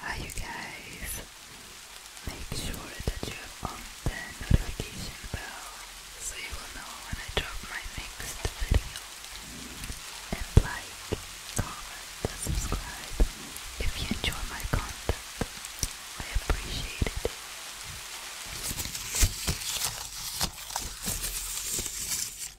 Hi you guys, make sure that you have on the notification bell so you will know when I drop my next video and like, comment and subscribe if you enjoy my content, I appreciate it.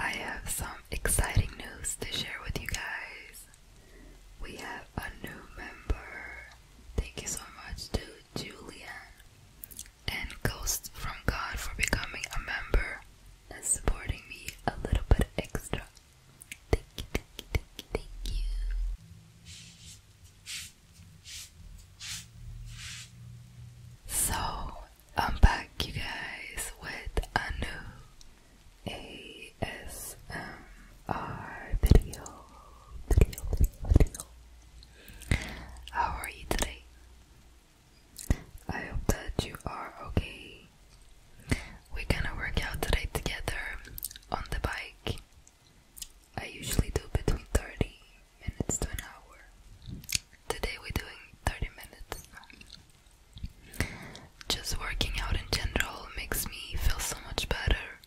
I have some exciting news to share with you guys we have a new member. Thank you so much to Julian and Ghost from God for becoming a member and supporting me a little bit extra. Thank you, thank you, thank you, So I'm back, you guys, with a new ASMR video. Video, video, video. How are you today? I hope that you are okay. We're gonna work out today together on the bike. I usually do between 30 minutes to an hour. Today we're doing 30 minutes. Just working out in general makes me feel so much better,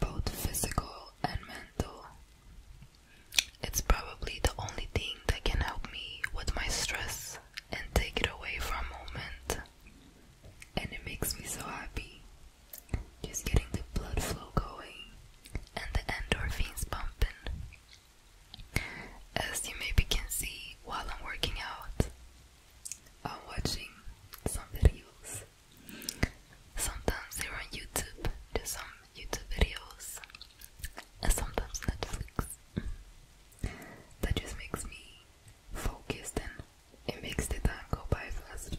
both physical and mental. It's probably the only thing that can help me with my stress and take it away for a moment. And it makes me so happy. Just getting the blood flow going and the endorphins pumping, As you maybe can see while I'm working out, I'm watching some videos. Sometimes they're on YouTube, there's some YouTube videos, sometimes Netflix. That just makes me focused and it makes the time go by fast.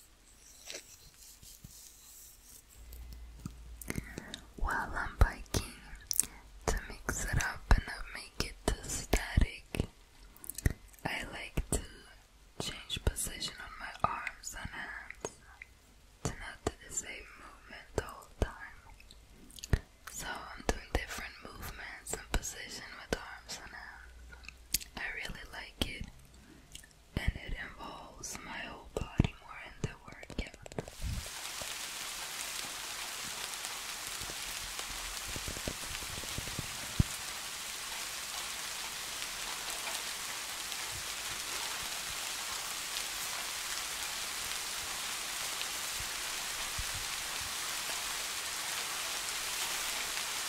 While I'm biking, to mix it up and not make it static, I like to change position on my arms and hands to not do the same movement the whole time. So I'm doing different movements and position with arms and hands. I really like it and it involves my whole body more in the workout.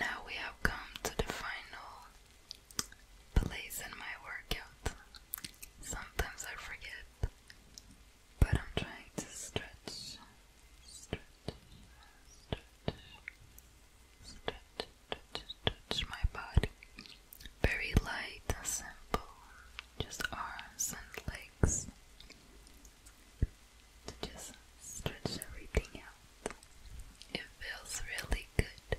Now we have come to the final place in my workout. Sometimes I forget, but I'm trying to stretch, stretch, stretch, stretch, stretch, stretch my body very light simple, just arms and legs to just stretch everything out. It feels really good.